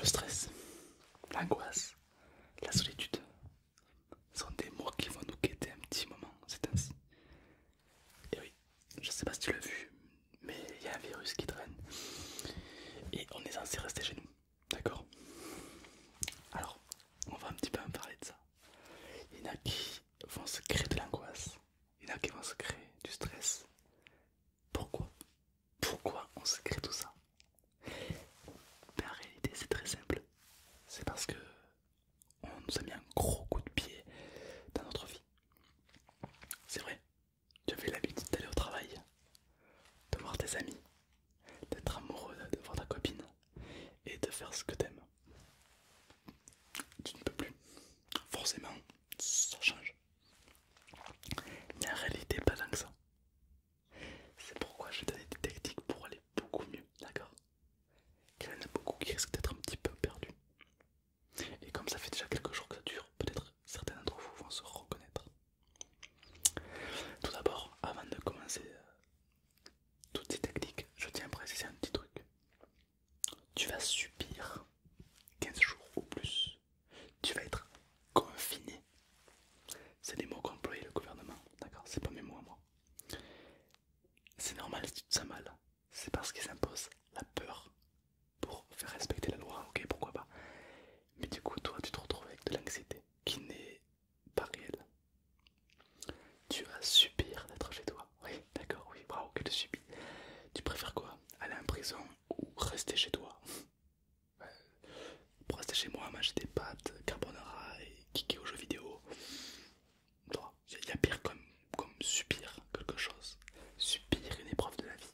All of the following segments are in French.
Le stress, l'angoisse, la solitude sont des mots qui vont nous quitter un petit moment, c'est ainsi. Et oui, je sais pas si tu l'as vu, mais il y a un virus qui traîne et on est censé rester chez nous, d'accord Alors, on va un petit peu en parler de ça. Il vont se créer de l'angoisse, il y en a qui vont se créer du stress. Pourquoi Pourquoi on se crée tout ça Mais ben, En réalité, c'est très simple. C'est parce que on nous a mis un gros coup de pied dans notre vie. C'est vrai, tu avais l'habitude d'aller au travail, de voir tes amis, d'être amoureux, de voir ta copine, et de faire ce que t'aimes. Tu ne peux plus. Forcément, ça change. Mais en réalité, pas tant que ça. C'est pourquoi je vais donner des techniques pour aller beaucoup mieux, d'accord Il y en a beaucoup qui risquent d'être un petit peu perdu. Et comme ça fait déjà quelques jours que ça dure, peut-être certains d'entre vous vont se reconnaître. Tout d'abord, avant de commencer euh, toutes ces techniques, je tiens à préciser un petit truc. Tu vas subir 15 jours ou plus. Tu vas être confiné. C'est des mots qu'a le gouvernement, d'accord C'est pas mes mots à moi. C'est normal si tu te sens mal. C'est parce qu'ils imposent la peur pour faire respecter la loi, ok, pourquoi pas. Mais du coup, toi, tu te retrouves avec de l'anxiété qui n'est pas réelle. Tu vas subir d'être chez toi. Oui, d'accord, oui, bravo, que tu Tu préfères quoi Aller en prison ou rester chez toi Pour rester chez moi, manger des pâtes, carbonara et kicker aux jeux vidéo. Il y a pire comme, comme subir quelque chose, subir une épreuve de la vie.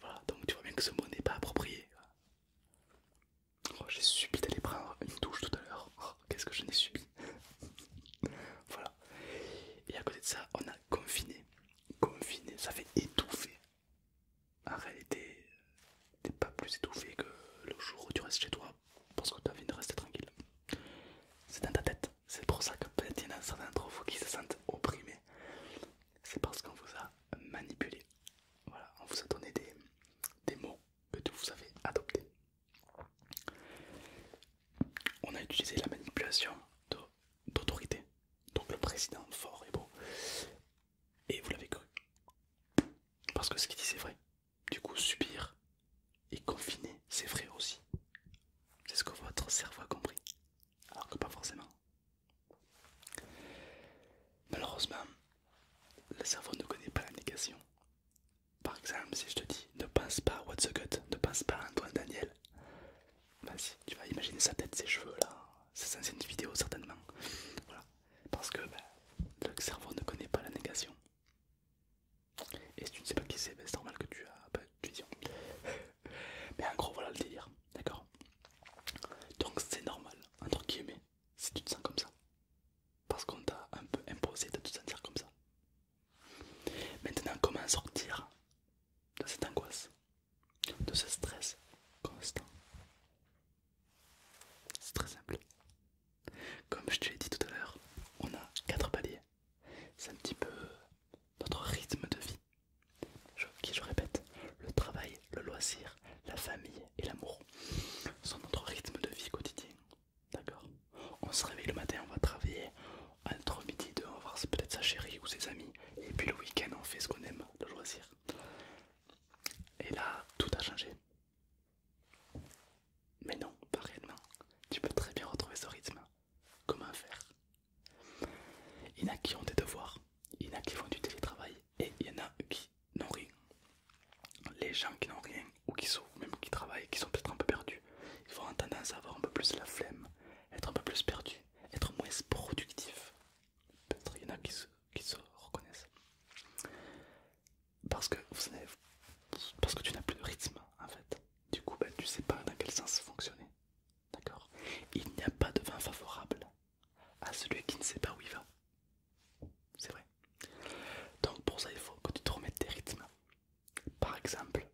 voilà, donc tu vois bien que ce mot n'est pas approprié. Oh, j'ai subi d'aller prendre une douche tout à l'heure. Oh qu'est-ce que je n'ai subi Voilà. Et à côté de ça, on a confiné. Confiné, ça fait étouffer. En réalité, t'es pas plus étouffé que le jour où tu restes chez toi parce que tu as envie de rester tranquille. C'est dans ta tête. C'est pour ça que peut-être il y en a certains d'entre vous qui se sentent opprimés. C'est parce qu'on vous a manipulé. Voilà, on vous a donné des, des mots que vous avez adoptés. On a utilisé la manipulation d'autorité. Donc le président fort et beau. Et vous l'avez cru. Parce que ce qu'il dit c'est vrai. Du coup, subir et confiner, c'est vrai aussi. C'est ce que votre cerveau a compris. Alors que pas forcément. Malheureusement, le cerveau ne connaît pas la négation. Par exemple, si je te dis ne pense pas à What's the Gut, ne pense pas à Antoine Daniel, vas-y, tu vas imaginer sa tête, ses cheveux là, ses une vidéo certainement. Voilà, parce que bah, le cerveau ne connaît pas la négation. Et si tu ne sais pas qui c'est, bah, c'est normal que tu as pas de vision. Mais en gros, voilà le délire, d'accord Donc c'est normal, entre guillemets, si tu te sens comme ça parce qu'on t'a un peu imposé de te sentir comme ça. Maintenant, comment sortir de cette angoisse, de ce stress constant C'est très simple. Comme je te l'ai dit tout à l'heure, on a quatre paliers. C'est un petit peu notre rythme de vie, qui je répète, le travail, le loisir, la famille et l'amour sont notre rythme de vie quotidien, D'accord On se réveille le matin, on va travailler. Entre midi deux, on va voir peut-être sa chérie ou ses amis. Et puis le week-end, on fait ce qu'on aime, le loisir. Et là, tout a changé. Mais non, pas réellement. Tu peux très bien retrouver ce rythme. Comment faire Il y en a qui ont des devoirs, il y en a qui font du télétravail, et il y en a qui n'ont rien, les gens qui n'ont rien ou qui sont même qui travaillent, qui sont peut-être un peu perdus, ils vont entendre tendance à avoir un peu plus la flemme, être un peu plus perdus, être moins productifs. Peut-être il y en a qui se, reconnaissent. Parce que, vous savez, parce que tu n'as plus de rythme en fait. Du coup, tu ben, tu sais pas dans quel sens fonctionner. D'accord Il n'y a pas de vin favorable à celui qui ne sait pas où il va. C'est vrai. Donc pour ça, il faut que tu te remettes tes rythmes. Par exemple,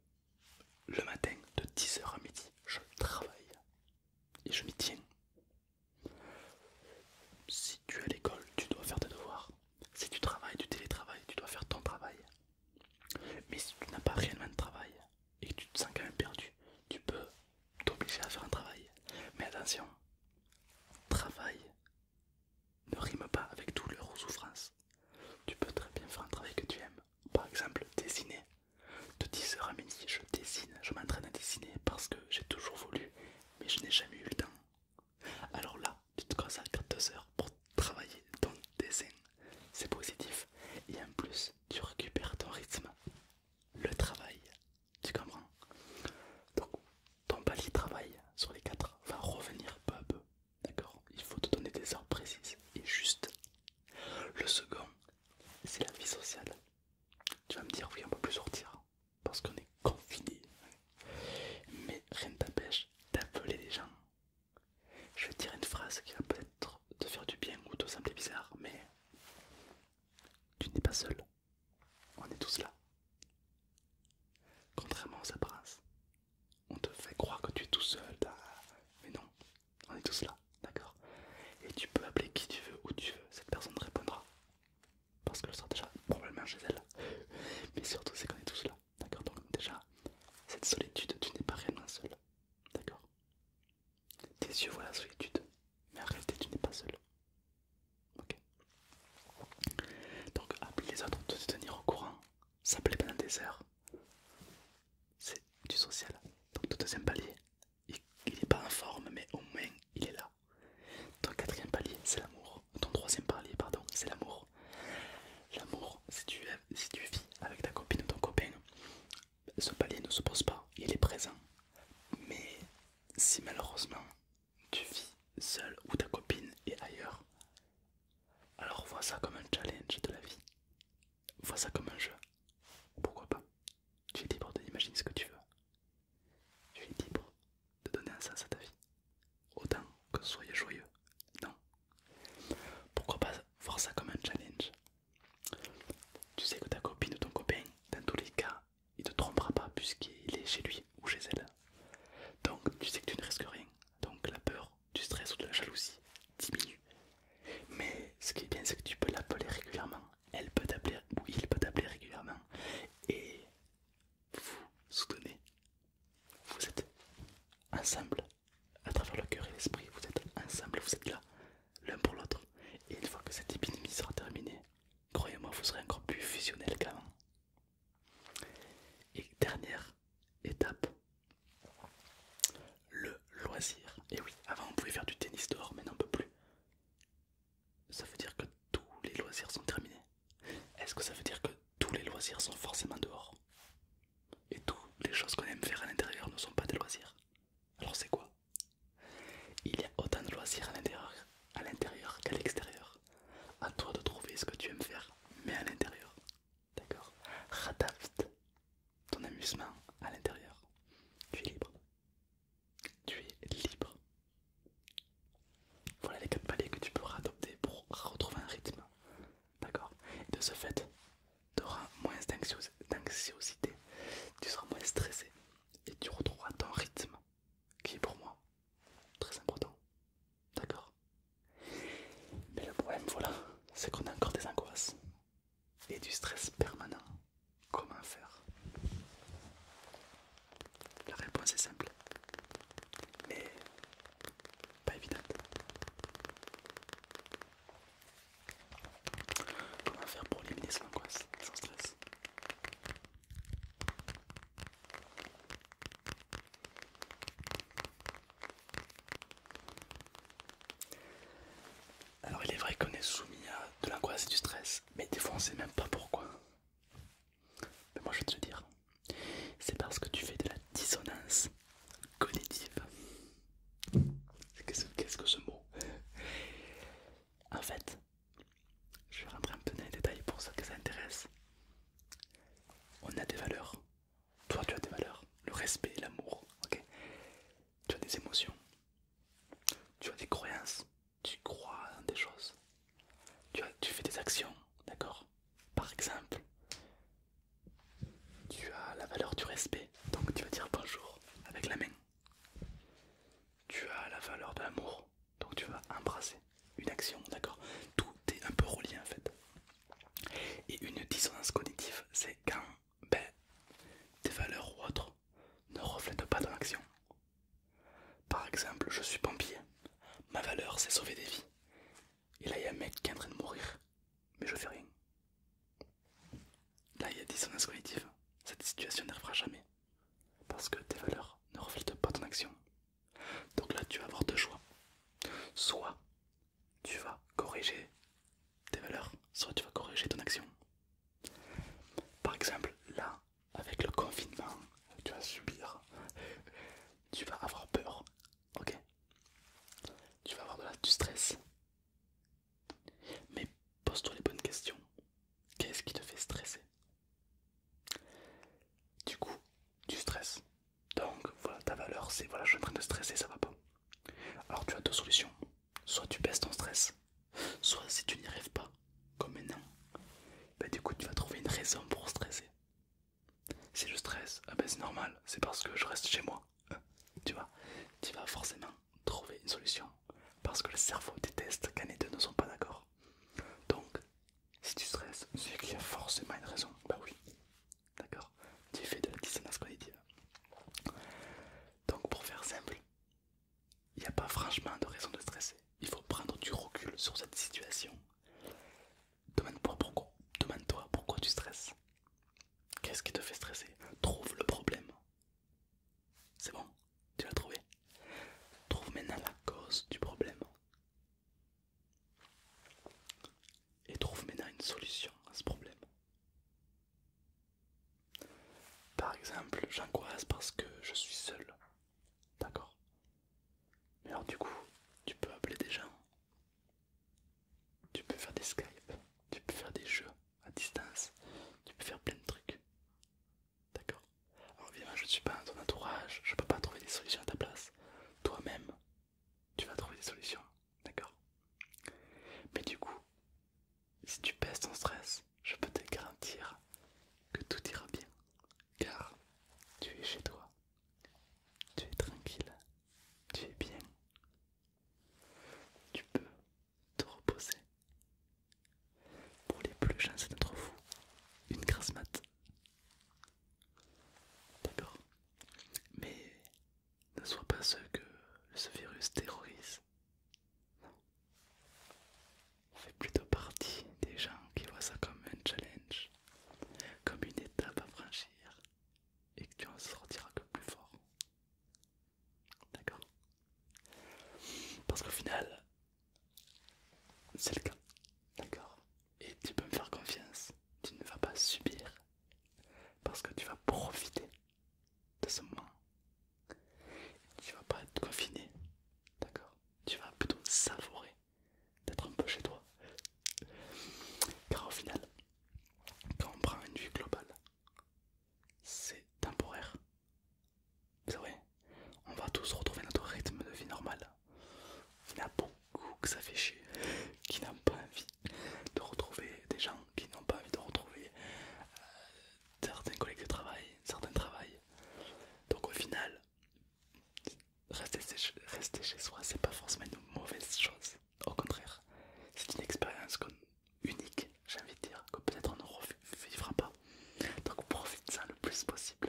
le matin de 10h à midi, je travaille et je m'y tiens. Si tu es à l'école, tu dois faire tes devoirs. Si tu travailles, tu télétravailles, tu dois faire ton travail. Mais si tu n'as pas réellement de travail et que tu te sens quand même perdu, tu peux t'obliger à faire un travail. Mais attention, travail ne rime pas avec douleur ou souffrance. Tu peux très bien faire un travail que tu aimes. Par exemple, dessiner. De 10h à midi, je dessine, je m'entraîne à dessiner parce que j'ai toujours voulu, mais je n'ai jamais eu le temps. Alors là, tu te consacres 2 heures pour travailler ton dessin. C'est positif. Et en plus, tu récupères ton rythme. Le travail. Tu comprends ton palier travail sur les quatre va revenir peu à peu. D'accord Il faut te donner des heures précises et justes. Le second, c'est la vie sociale. Tu vas me dire, oui, on peut plus sortir parce qu'on est confiné. Mais rien ne t'empêche d'appeler les gens. Je vais te dire une phrase qui va peut-être te faire du bien ou te sembler bizarre, mais tu n'es pas seul. On est tous là. Contrairement aux apparences, on te fait croire que tu es tout seul, mais non, on est tous là, d'accord Et tu peux appeler qui tu veux, où tu veux, cette personne répondra. Parce qu'elle sera déjà probablement chez elle. Mais surtout, c'est qu'on est tous là, d'accord Donc, déjà, cette solitude, tu n'es pas réellement seul, d'accord Tes yeux voient la solitude, mais en réalité, tu n'es pas seul. Donc appelez les autres, te tenir au courant, s'appeler pendant des heures, c'est du social. Donc ton deuxième palier, il n'est pas en forme, mais au moins il est là. Ton quatrième palier, c'est l'amour. Ton troisième palier, pardon, c'est l'amour. L'amour, si tu, si tu vis avec ta copine ou ton copain, ce palier ne se pose pas, il est présent. Mais si malheureusement tu vis seul ou ta copine est ailleurs. Alors vois ça comme un challenge de la vie. Vois ça comme un jeu. Pourquoi pas Tu es libre d'imaginer ce que tu veux. Tu es libre de donner un sens à ta vie. Autant que soyez joyeux. Non. Pourquoi pas voir ça comme un challenge Tu sais que ta copine ou ton copain, dans tous les cas, il te trompera pas puisqu'il est chez lui ou chez elle. Donc tu sais que tu ne risques rien. Donc la peur, du stress ou de la jalousie diminue. Mais ce qui est bien, c'est que tu peux l'appeler régulièrement. Elle peut t'appeler ou il peut t'appeler régulièrement. Et vous soutenez. Vous êtes ensemble à travers le cœur et l'esprit. Vous êtes ensemble, vous êtes là l'un pour l'autre. Et une fois que cette épidémie sera terminée, croyez-moi, vous serez encore plus fusionnel qu'avant. Et dernière étape, le loisir. Et oui, avant on pouvait faire du tennis dehors, mais non peut plus. Ça veut dire que tous les loisirs sont terminés. Est-ce que ça veut dire que tous les loisirs sont forcément dehors Et toutes les choses qu'on aime faire à l'intérieur ne sont pas des loisirs Alors c'est quoi Il y a autant de loisirs à l'intérieur qu'à l'extérieur. À toi de trouver ce que tu aimes faire, mais à l'intérieur. D'accord Radapte ton amusement à l'intérieur. Tu es libre. Tu es libre. Voilà les quatre paliers que tu peux adopter pour retrouver un rythme. D'accord de ce fait, tu auras moins d'anxiosité, tu seras moins stressé et tu retrouveras ton rythme qui est pour moi très important. D'accord Mais le problème, voilà, c'est qu'on a encore des angoisses et du stress permanent. Comment faire La réponse est simple, mais pas évidente. Comment faire pour éliminer son angoisse, son stress alors il est vrai qu'on est soumis à de l'angoisse et du stress, mais des fois on sait même pas pourquoi. Mais moi je vais te le dire, c'est parce que tu fais de la dissonance cognitive. Qu'est-ce que ce mot En fait, je vais rentrer un peu dans les détails pour ceux que ça intéresse. On a des valeurs. Toi, tu as des valeurs. Le respect, l'amour. ok tu as des émotions. Tu as des croyances. Tu crois dans des choses. Tu, tu fais des actions. D'accord Par exemple, tu as la valeur du respect. Donc, tu vas dire bonjour avec la main. Tu as la valeur de l'amour. Donc tu vas embrasser une action, d'accord Tout est un peu relié en fait. Et une dissonance cognitive, c'est quand ben, tes valeurs ou autres ne reflètent pas ton action. Par exemple, je suis pompier, ma valeur c'est sauver des vies. Et là, il y a un mec qui est en train de mourir, mais je fais rien. Là, il y a dissonance cognitive. Cette situation n'arrivera jamais. Parce que tes valeurs ne reflètent pas ton action. Donc là, tu vas avoir deux choix. Soit tu vas corriger tes valeurs, soit tu vas corriger ton action. Par exemple, là, avec le confinement, tu vas subir, tu vas avoir peur, ok Tu vas avoir de la, du stress. Mais pose-toi les bonnes questions. Qu'est-ce qui te fait stresser du coup, tu stresses. Donc voilà, ta valeur c'est voilà, je suis en train de stresser, ça va pas. Alors tu as deux solutions. Soit tu baisses ton stress, soit si tu n'y rêves pas, comme maintenant, bah, du coup tu vas trouver une raison pour stresser. Si je stresse, ah ben, c'est normal, c'est parce que je reste chez moi. tu vois, tu vas forcément trouver une solution parce que le cerveau déteste quand les deux ne sont pas d'accord. Donc si tu stresses, c'est qu'il y a forcément une raison. Bah oui, d'accord Tu fais de la dissonance cognitive. Donc, pour faire simple, il n'y a pas franchement de raison de stresser. Il faut prendre du recul sur cette situation. Demande-toi pourquoi, Demande -toi pourquoi tu stresses. Qu'est-ce qui te fait stresser Trouve le problème. C'est bon tu l'as trouvé Trouve maintenant la cause du problème. Et trouve maintenant une solution à ce problème. Par exemple, j'angoisse parce que je suis seul. D'accord Mais alors du coup, tu peux appeler des gens. Tu peux faire des Skype. Tu peux faire des jeux à distance. Tu peux faire plein de trucs. D'accord Alors évidemment je ne suis pas dans ton entourage, je ne peux pas trouver des solutions à ta place. Toi-même, tu vas trouver des solutions, d'accord Mais du coup, si tu baisses ton stress, je peux te garantir que tout ira bien. Car tu es chez toi, tu es tranquille, tu es bien. Tu peux te reposer, pour les plus chanceux d'entre fou, une grasse mat. D'accord. Mais ne sois pas ceux que ce virus terrorise. Non. On fait plutôt partie des gens qui voient ça comme un challenge, comme une étape à franchir, et que tu en sortiras que plus fort. D'accord Parce qu'au final, c'est le cas, d'accord Et tu peux me faire confiance, tu ne vas pas subir parce que tu vas profiter de ce moment. Tu vas pas être confiné, d'accord Tu vas plutôt savourer d'être un peu chez toi. Car au final, quand on prend une vue globale, c'est temporaire, c'est vrai, on va tous retrouver notre rythme de vie normal. Il y a beaucoup que ça fait chier, qui n'ont pas envie de retrouver des gens, qui n'ont pas envie de retrouver euh, certains collègues de travail, certains travail. Donc au final, rester chez, rester chez soi, c'est pas forcément une mauvaise chose. Au contraire, c'est une expérience unique, j'ai envie de dire, que peut-être on ne revivra pas. Donc profite ça le plus possible.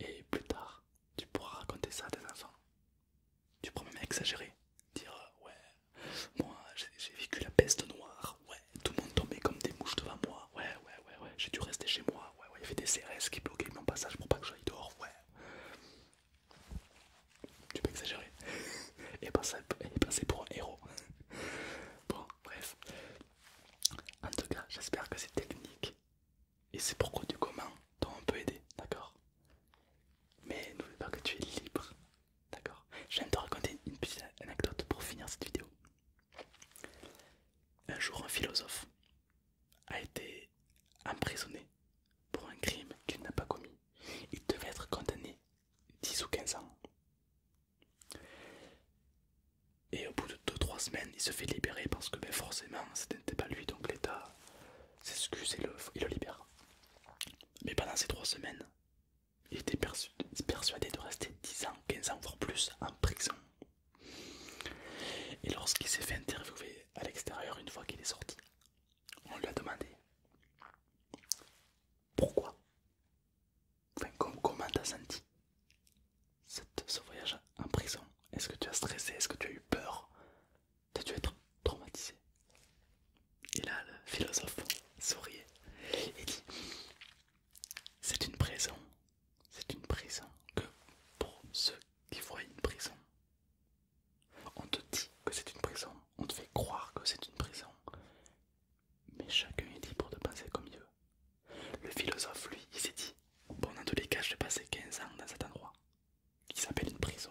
Et plus tard, tu pourras raconter ça à tes enfants. Tu pourras même exagérer. Dire euh, ouais, moi j'ai vécu la peste noire, ouais, tout le monde tombait comme des mouches devant moi, ouais, ouais, ouais, ouais, j'ai dû rester chez moi, ouais, ouais, il y avait des CRS qui bloquaient mon passage pour pas que j'aille dehors, ouais. Tu peux exagérer. Et et passer pour un héros. Bon, bref. En tout cas, j'espère que c'est technique et c'est pourquoi du comment dont on peut aider d'accord Mais n'oublie pas que tu es libre, d'accord J'aime te raconter une petite anecdote pour finir cette vidéo. Un jour, un philosophe a été emprisonné pour un crime qu'il n'a pas commis. Il devait être condamné 10 ou 15 ans. Et au bout de 2-3 semaines, il se fait libérer parce que ben, forcément, ce n'était pas lui, donc l'État s'excuse et le, libère. Mais pendant ces 3 semaines, il était persuadé de rester 10 ans, 15 ans, voire plus en prison. Et lorsqu'il s'est fait interviewer à l'extérieur une fois qu'il est sorti, on lui a demandé pourquoi comme, comment t'as senti ce voyage en prison Est-ce que tu as stressé Est-ce que tu as eu peur T'as dû être traumatisé Et là, le philosophe souriait et dit C'est une prison, c'est une prison que pour ceux qui voient une prison, on te dit que c'est une prison, on te fait croire que c'est une prison, mais chacun est libre de penser comme il veut. Le philosophe, lui, il s'est dit Bon, dans tous les cas, je vais passer 15 ans dans cet endroit qui s'appelle une prison.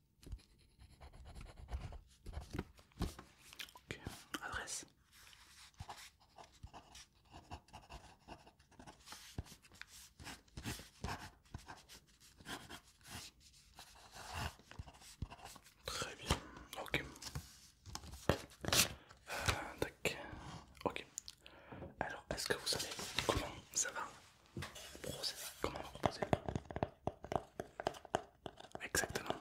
Ok, adresse. Très bien, ok. Euh, ok. Alors, est-ce que vous savez comment ça va Comment on va proposer Exactement.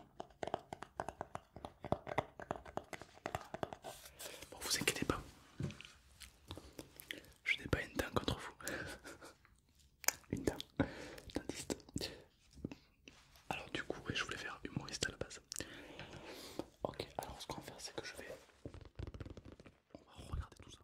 Bon, vous inquiétez pas. Je n'ai pas une dent contre vous. une dent. Dentiste. Alors du coup, je voulais faire humoriste à la base. Ok, alors ce qu'on va faire, c'est que je vais... On va regarder tout ça.